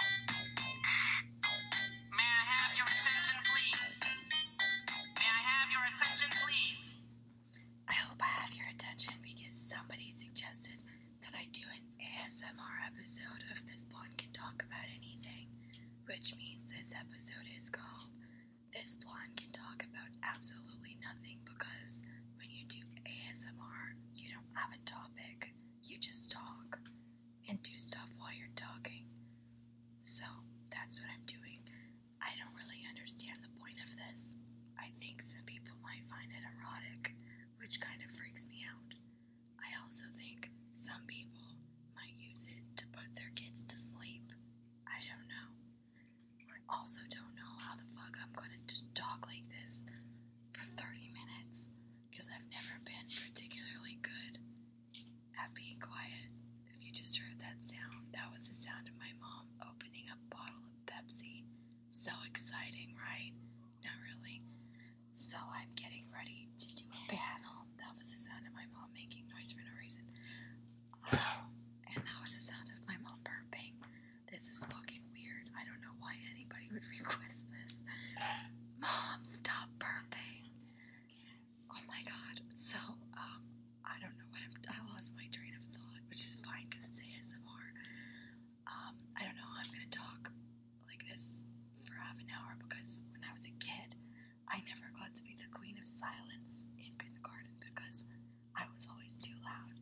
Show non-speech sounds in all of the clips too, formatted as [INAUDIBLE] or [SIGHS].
I hope I have your attention because somebody suggested that I do an ASMR episode of This Blonde Can Talk About Anything, which means this episode is called This Blonde Can Talk About Absolutely Nothing because when you do ASMR, you don't have a topic, you just talk and do stuff while you're talking. So that's what I'm doing. I don't really understand the point of this. I think some people might find it erotic, which kind of freaks me out. I also think some people might use it to put their kids to sleep. I don't know. I also don't know how the fuck I'm gonna just talk like this for 30 minutes because I've never been particularly good at being quiet. If you just heard that sound, that was the sound of my mom opening a bottle of Pepsi. So exciting, right? Not really. So I'm getting ready to do a panel. That was the sound of my mom making noise for no reason. [SIGHS] and that was the sound of my mom burping. This is fucking weird. I don't know why anybody would [LAUGHS] request this. Mom, stop burping. Oh my god. So, um, I don't know what I'm, I lost my train of thought, which is fine because it's ASMR. Um, I don't know how I'm gonna talk like this for half an hour because when I was a kid, I never got to be the queen of silence in kindergarten because I was always too loud.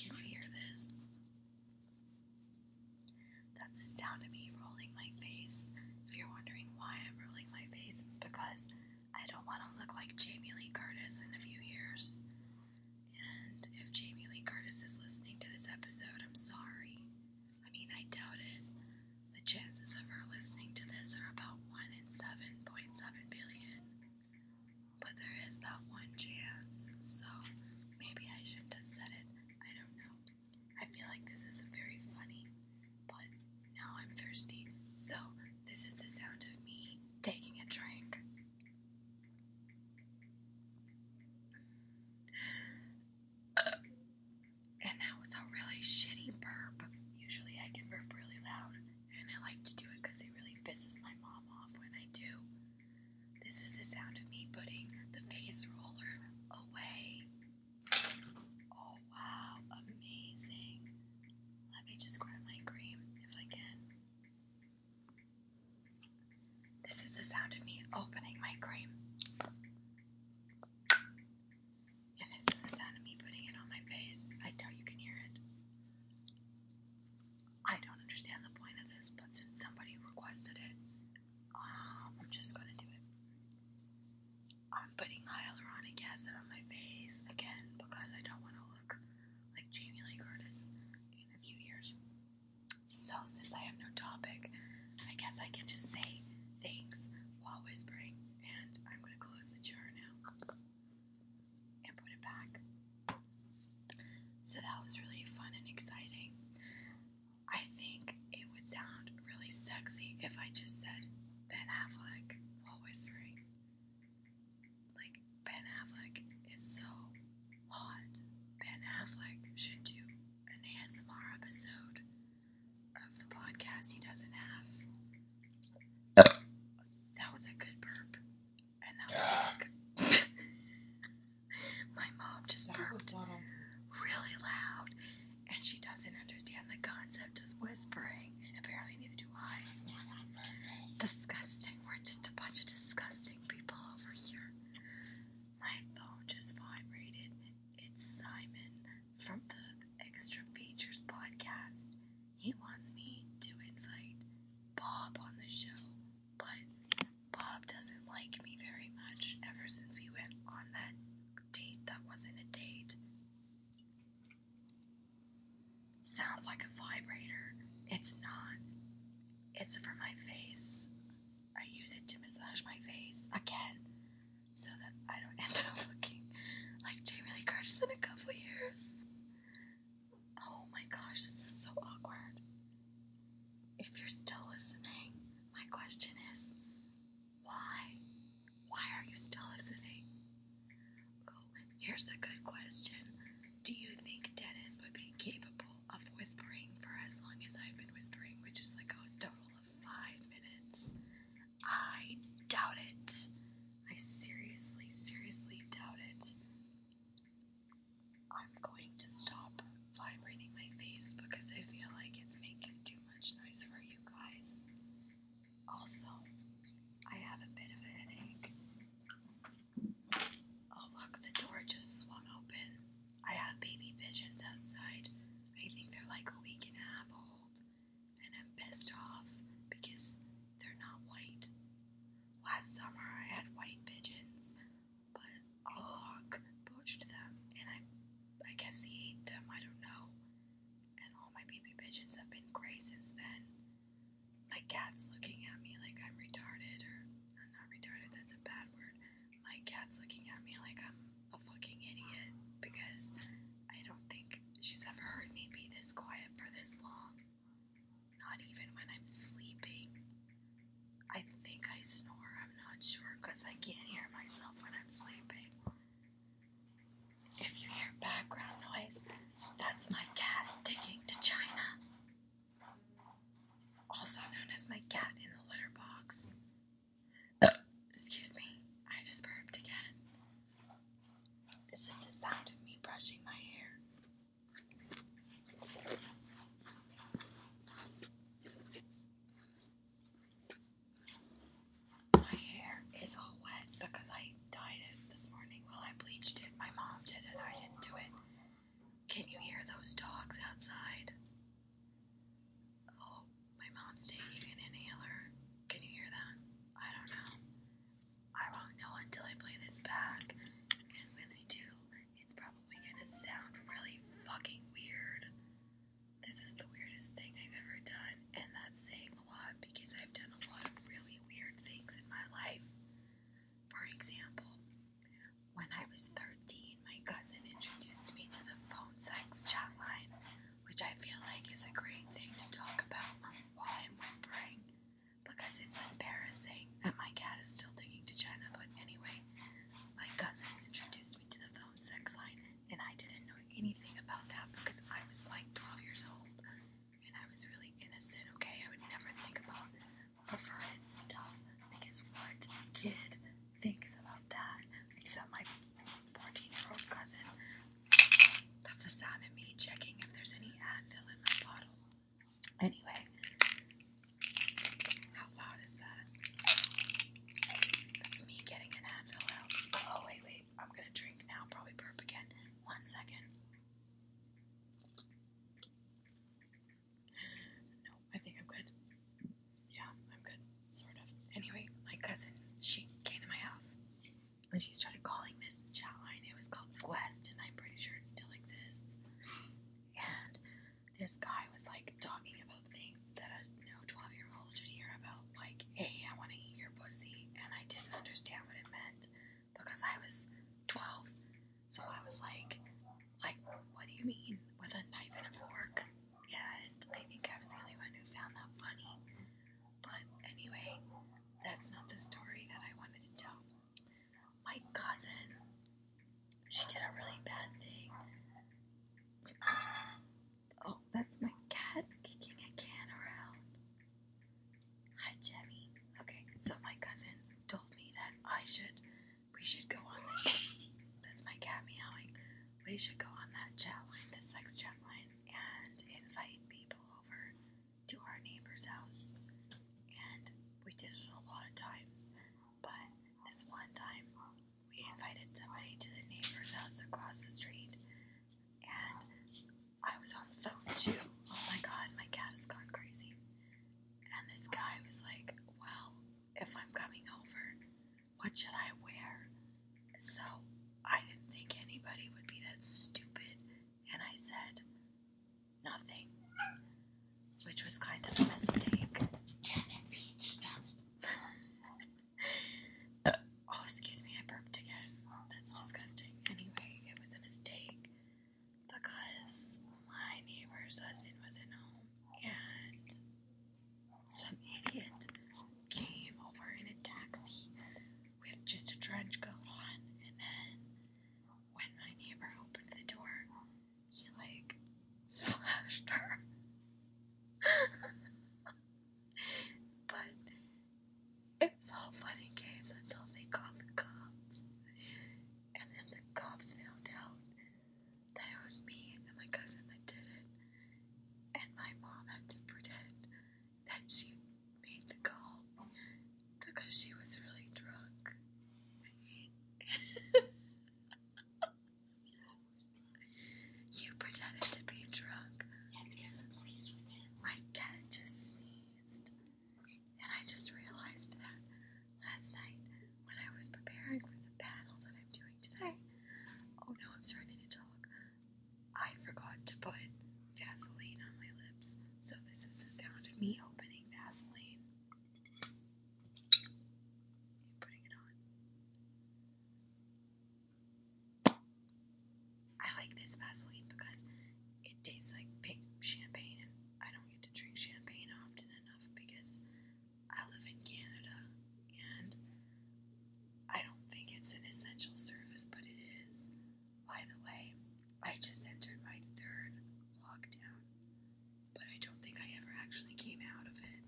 Can you hear this? That's the sound of me rolling my face. If you're wondering why I'm rolling my face, it's because I don't want to look like Jamie Lee Curtis in a few years. And if Jamie Lee Curtis is listening to this episode, I'm sorry. I mean, I doubt it. The chances of her listening to this are about 1 in 7.7 billion. But there is that one chance, so maybe I shouldn't have said it. I don't know. I feel like this is very funny, but now I'm thirsty, so this is the sound of me taking a drink. and that was a really shitty burp. Usually I can burp really loud, and I like to do it because it really pisses my mom off when I do. This is the sound of me putting the face roller away. Oh wow, amazing. Let me just grab my cream if I can. This is the sound of me opening my cream. And this is the sound of me putting it on my face. I doubt you can hear it. I don't understand the point of this, but since somebody requested it, um, I'm just gonna do it. I'm putting hyaluronic acid on my face again because I don't want to look like Jamie Lee Curtis in a few years. So, since I have no topic, I guess I can just say things while whispering, and I'm gonna close the jar now and put it back. So, that was really fun and exciting. I think it would sound really sexy if I just said Ben Affleck while whispering. Like, Ben Affleck is so hot. Ben Affleck should do an ASMR episode of the podcast he doesn't have. that was a good burp. And that was just [SIGHS] [LAUGHS] good. My mom just that burped really loud, and she doesn't understand the concept of whispering. And Apparently, neither do I. Disgusting. We're just a bunch of disgusting people over here. My phone just vibrated. It's Simon from the Extra Features podcast. He wants me to invite Bob on the show, but Bob doesn't like me very much ever since we went on that date that wasn't a date. Sounds like a vibrator. It's not. It's for my face. I use it to massage my face again so that I don't [LAUGHS] end up looking like Jamie Lee Curtis in a couple years. Oh my gosh, this is so awkward. If you're still listening, my question is why? Why are you still listening? Oh, here's a good question. Do you think Dennis would be capable of whispering for as long as I've been whispering, which is like a total of five minutes? I doubt it. I seriously, seriously doubt it. I'm going to stop vibrating my face because I feel like it's making too much noise for you guys. Also, I have a bit of a headache. Oh, look, the door just swung open. I have baby pigeons outside. I think they're like a week and a half old, and I'm pissed off because they're not white. Last summer I had white pigeons. But a hawk poached them, and I, I guess he ate them. I don't know. And all my baby pigeons have been gray since then. My cat's looking at me like I'm retarded, or I'm not retarded. That's a bad word. My cat's looking at me like I'm a fucking idiot because I don't think she's ever heard me be this quiet for this long. Not even when I'm sleeping. I think I snore. I'm not sure because I can't hear myself when I'm sleeping. If you hear background noise, that's my cat taking to China, also known as my cat in the litter box. Excuse me, I just burped again. This is the sound of me brushing my hair. My hair is all wet because I dyed it this morning while I bleached it. My mom did it, I didn't do it. Can you hear those dogs outside? Oh, my mom's taking an inhaler. Can you hear that? I don't know. I won't know until I play this back. And when I do, it's probably gonna sound really fucking weird. This is the weirdest thing I've ever done, and that's saying a lot because I've done a lot of really weird things in my life. For example, when I was 13, my cousin introduced me to the phone sex chat line, which I feel like is a great thing to talk about um, while I'm whispering because it's embarrassing that my cat is still digging to China, but anyway, my cousin introduced me to the phone sex line, and I didn't know anything about that because I was like 12 years old and I was really innocent, okay? I would never think about perverted stuff because what kid thinks about that except my 14 year old cousin? That's the sound of me checking if there's any Advil in my bottle. Anyway, how loud is that? That's me getting an Advil out. Oh, wait, wait. I'm gonna drink now, probably burp again. One second. No, I think I'm good. Yeah, I'm good. Sort of. Anyway, my cousin, she came to my house and she started calling this chat line. It was called Quest, and I'm pretty sure it still exists. And this guy was like talking about things that a you know 12 year old should hear about, like, hey, I want to eat your pussy, and I didn't understand what it meant because I was 12. So I was like, like, what do you mean with a knife and a fork? And I think I was the only one who found that funny. But anyway, that's not the story that I wanted to tell. My cousin she did a really bad thing. Oh, that's my cat kicking a can around. Hi, Jenny. Okay, so my cousin told me that I should, we should go on this. [LAUGHS] That's my cat meowing. We should go on that chat line, the sex chat line, and invite people over to our neighbor's house. And we did it a lot of times, but this one time we invited somebody to the neighbor's house across the street, and I was on the phone too. Oh my god, my cat has gone crazy. And this guy was like, Well, if I'm coming over, what should I wear? So I didn't think anybody would be that stupid, and I said, Nothing which was kind of a mistake. [LAUGHS] oh, excuse me, I burped again. Oh, that's disgusting. Anyway, it was a mistake because my neighbor's husband wasn't home and some idiot came over in a taxi with just a trench coat on. And then when my neighbor opened the door, he like flashed her. [LAUGHS] but it was all funny games until they called the cops. And then the cops found out that it was me and my cousin that did it. And my mom had to pretend that she made the call because she was really drunk. [LAUGHS] You pretended to be drunk. Yeah, because the police were there. My cat just sneezed. And I just realized that last night when I was preparing for the panel that I'm doing today. Oh no, I'm starting to talk. I forgot to put Vaseline on my lips. So this is the sound of me opening Vaseline. I like this Vaseline because it tastes like pink champagne, and I don't get to drink champagne often enough because I live in Canada and I don't think it's an essential service, but it is. By the way, I just entered my third lockdown but I don't think I ever actually came out of it.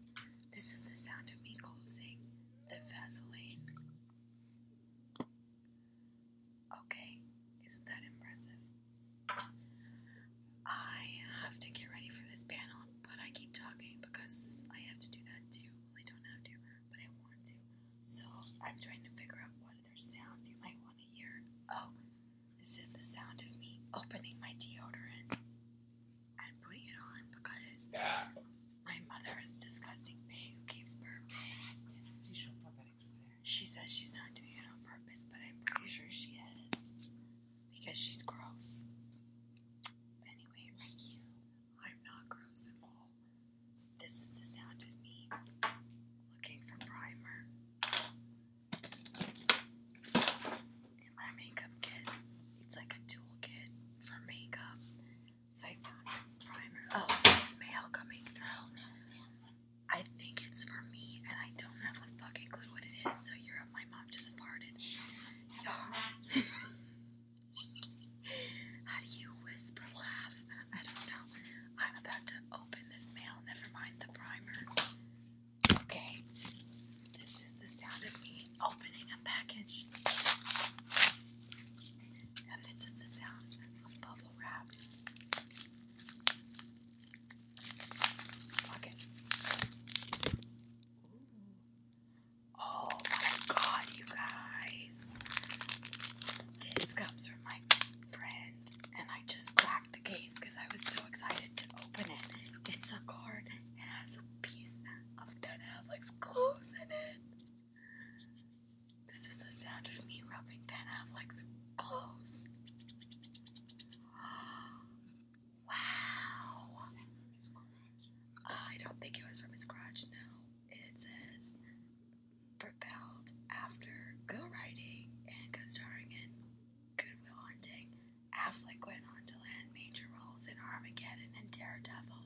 This is the sound of me closing the Vaseline. Okay, isn't that impressive? I have to get ready for this panel, but I keep talking because I have to do that too. I don't have to, but I want to. So I'm trying to figure out what other sounds you might want to hear. Oh, this is the sound of me opening my deodorant. I'm putting it on because my mother is disgusting pig who keeps burping. She says she's not doing it on purpose, but I'm pretty sure she is because she's gross. Anyway, I'm not gross at all. This is the sound of me looking for primer in my makeup kit. It's like a tool kit for makeup. So I primer. Oh, there's mail coming through. I think it's for me, and I don't have a fucking clue what it is. So you're up. My mom just farted. Y'all. [LAUGHS] How do you whisper laugh? I don't know. I'm about to open this mail. Never mind the primer. Okay, this is the sound of me opening a package. And this is the sound of bubble wrap. Look it. Oh my god, you guys. This comes from my friend, and I just cracked the case because I was so excited to open it. It's a card and has a piece of Ben Affleck's clothes in it. This is the sound of me rubbing Ben Affleck's clothes. [GASPS] Wow. I don't think it was from his scratch. no. It says propelled after go writing and go starring in Good Will Hunting, Affleck went on to land major roles in Armageddon and Daredevil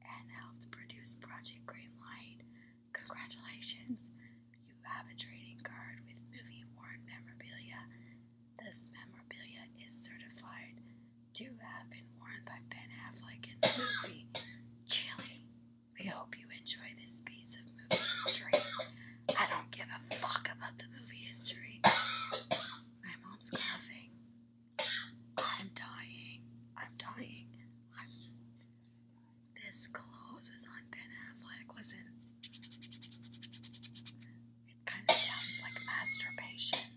and helped produce Project Greenlight. Congratulations! You have a trading card with movie worn memorabilia. This memorabilia is certified to have been worn by Ben Affleck in the movie Chili. We hope you enjoy this piece of movie history. I don't give a fuck about the movie history. My mom's coughing. I'm dying. I'm dying. This clothes was on Ben Affleck. Listen. It kind of sounds like masturbation.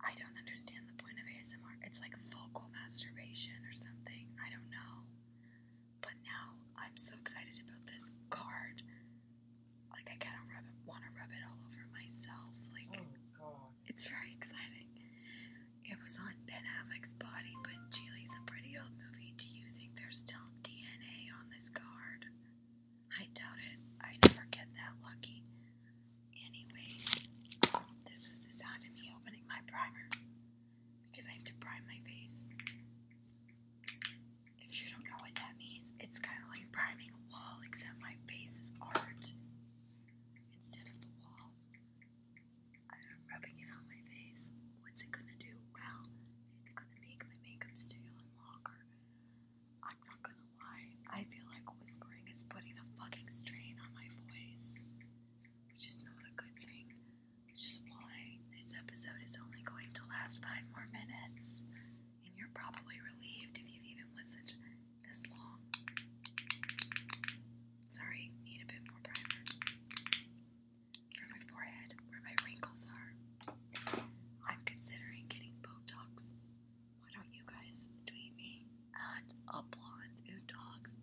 I don't understand the point of ASMR. It's like vocal masturbation or something. I don't know. But now I'm so excited about this card like I kind of want to rub it all over myself. Like, oh, it's very exciting. It was on Ben Affleck's body, but Geely's a pretty old movie. Do you think there's still DNA on this card? I doubt it. I never get that lucky. Anyway, this is the sound of me opening my primer because I have to prime my face. If you don't know what that means, it's kind of like priming a wall, except my face is art instead of the wall. I'm rubbing it on my face. What's it gonna do? Well, it's gonna make my makeup stay on longer. I'm not gonna lie, I feel like whispering is putting a fucking strain on my voice, which is not a good thing, which is this episode is only going to last five more minutes and you're probably relieved if you've even listened this long. Sorry, need a bit more primer. For my forehead, where my wrinkles are, I'm considering getting Botox. Why don't you guys tweet me at a blonde who talks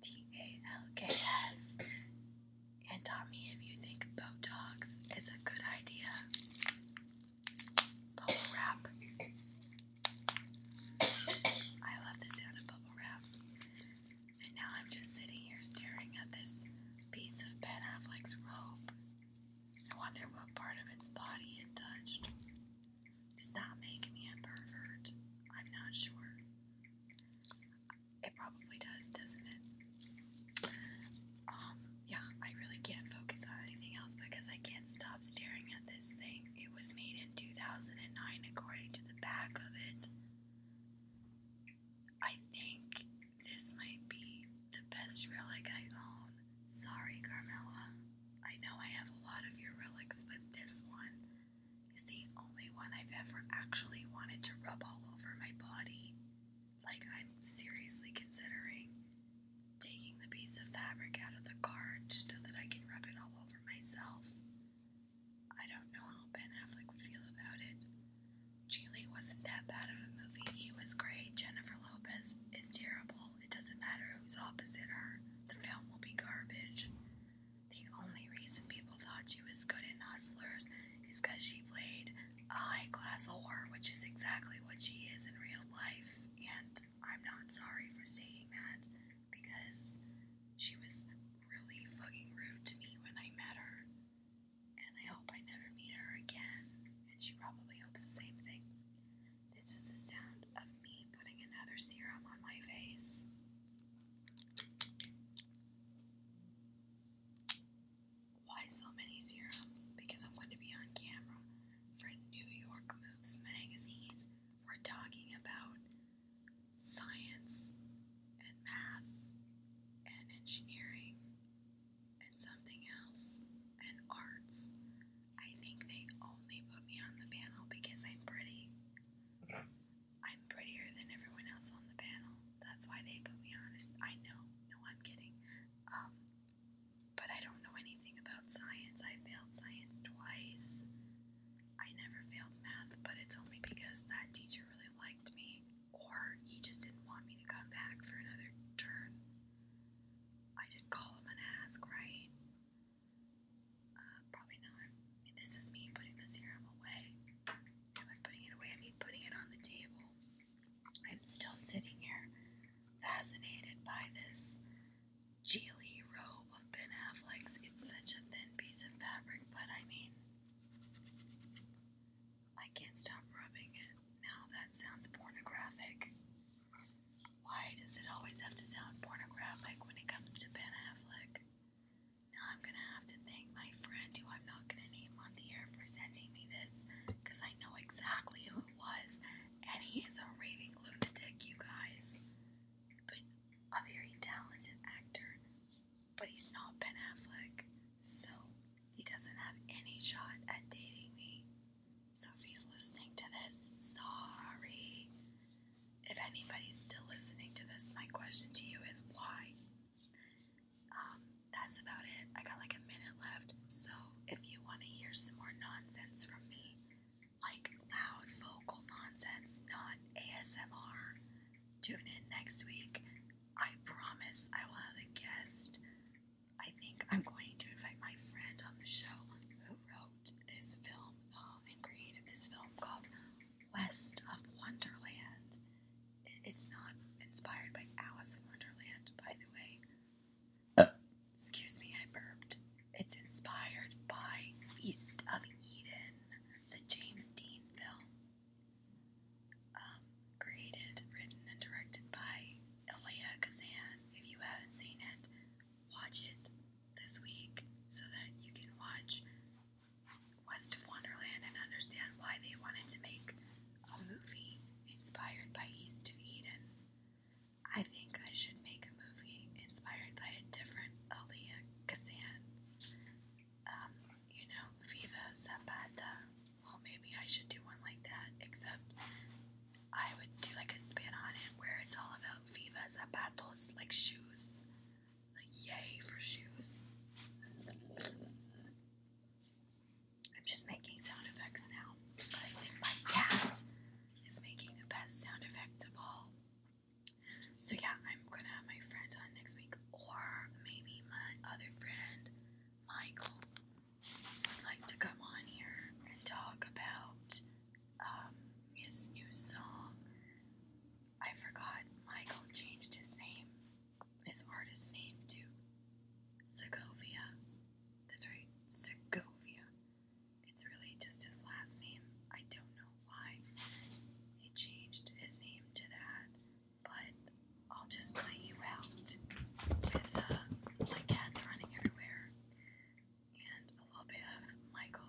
T A L K S. And Tommy, if you think Botox is a good idea, bubble wrap. I love the sound of bubble wrap. And now I'm just sitting here staring at this piece of Ben Affleck's robe. I wonder what part of its body it touched. Does that make me a pervert? I'm not sure. It probably does, doesn't it? Um, yeah, I really can't focus on anything else because I can't stop staring at this thing. It was made in 2009 according to the back of it. I think this might be the best relic I own. Sorry, Carmela. I know I have a lot of your relics, but this one is the only one I've ever actually wanted to rub all over my body. Like, I'm seriously considering taking the piece of fabric out of the card just so that I can rub it all over myself. I don't know how Ben Affleck would feel about it. Geely wasn't that bad of a movie. He was great. Jennifer Lopez is terrible. It doesn't matter who's opposite her. The film will be garbage. The only reason people thought she was good at Hustlers is because she played high class whore, which is exactly what she is in real life. And I'm not sorry for saying that because she was really fucking rude to me when I met her. And I hope I never meet her again. And she probably hopes the same thing. This is the sound of me putting another serum on my face. Why so many serums? Because I'm going to be on camera for New York Moves magazine. We're talking about science and math and engineering and something else and arts. I think they only put me on the panel because I'm pretty. I'm prettier than everyone else on the panel. That's why they put me on it. I know. No, I'm kidding. Um, but I don't know anything about science. I failed science twice. I never failed math, but it's only because that teacher really liked me, or he just didn't want me to come back for another turn. I did call him and ask, right? Uh, probably not. This is me putting the serum away. I'm putting it away, I mean putting it on the table. I'm still sitting here fascinated by this Geely robe of Ben Affleck's. It's such a thin piece of fabric, but I mean, I can't stop rubbing it. Now that sounds pornographic. Why does it always have to sound pornographic when it comes to Ben Affleck? I'm gonna have to thank my friend who I'm not gonna name on the air for sending me this because I know exactly who it was, and he is a raving lunatic, you guys. But a very talented actor, but he's not Ben Affleck, so he doesn't have any shot at dating me. Sophie's listening to this, sorry if anybody's still listening to this, my question to you is why? Um, that's about it. I got like a minute left. So if you want to hear some more nonsense from me, like loud vocal nonsense, not ASMR, tune in next week. I promise I will have a guest. I think I'm going to invite my friend on the show who wrote this film um, and created this film called west of Wonderland. It's not inspired by Alice in Wonderland, by the way. Uh. Excuse me, I burped. It's inspired by East of Eden, the James Dean film. Um, created, written, and directed by Elia Kazan. If you haven't seen it, watch it this week so that you can watch west of Wonderland and understand why they wanted to make a movie inspired by East of Eden. I think I should make a movie inspired by a different Elia Kazan. Um, you know, Viva Zapata. Well, maybe I should do one like that, except I would do like a spin on it where it's all about Viva Zapatos, like shoes. Like, yay for shoes. I'm just making sound effects now, but I think my cat is making the best sound effects of all. So, yeah, I'm gonna have my friend on next week, or maybe my other friend, Michael, would like to come on here and talk about um, his new song I forgot Michael changed his name, his artist name, to Segovia. That's right, Segovia. It's really just his last name. I don't know why he changed his name to that, but I'll just play you out with uh, my cats running everywhere and a little bit of Michael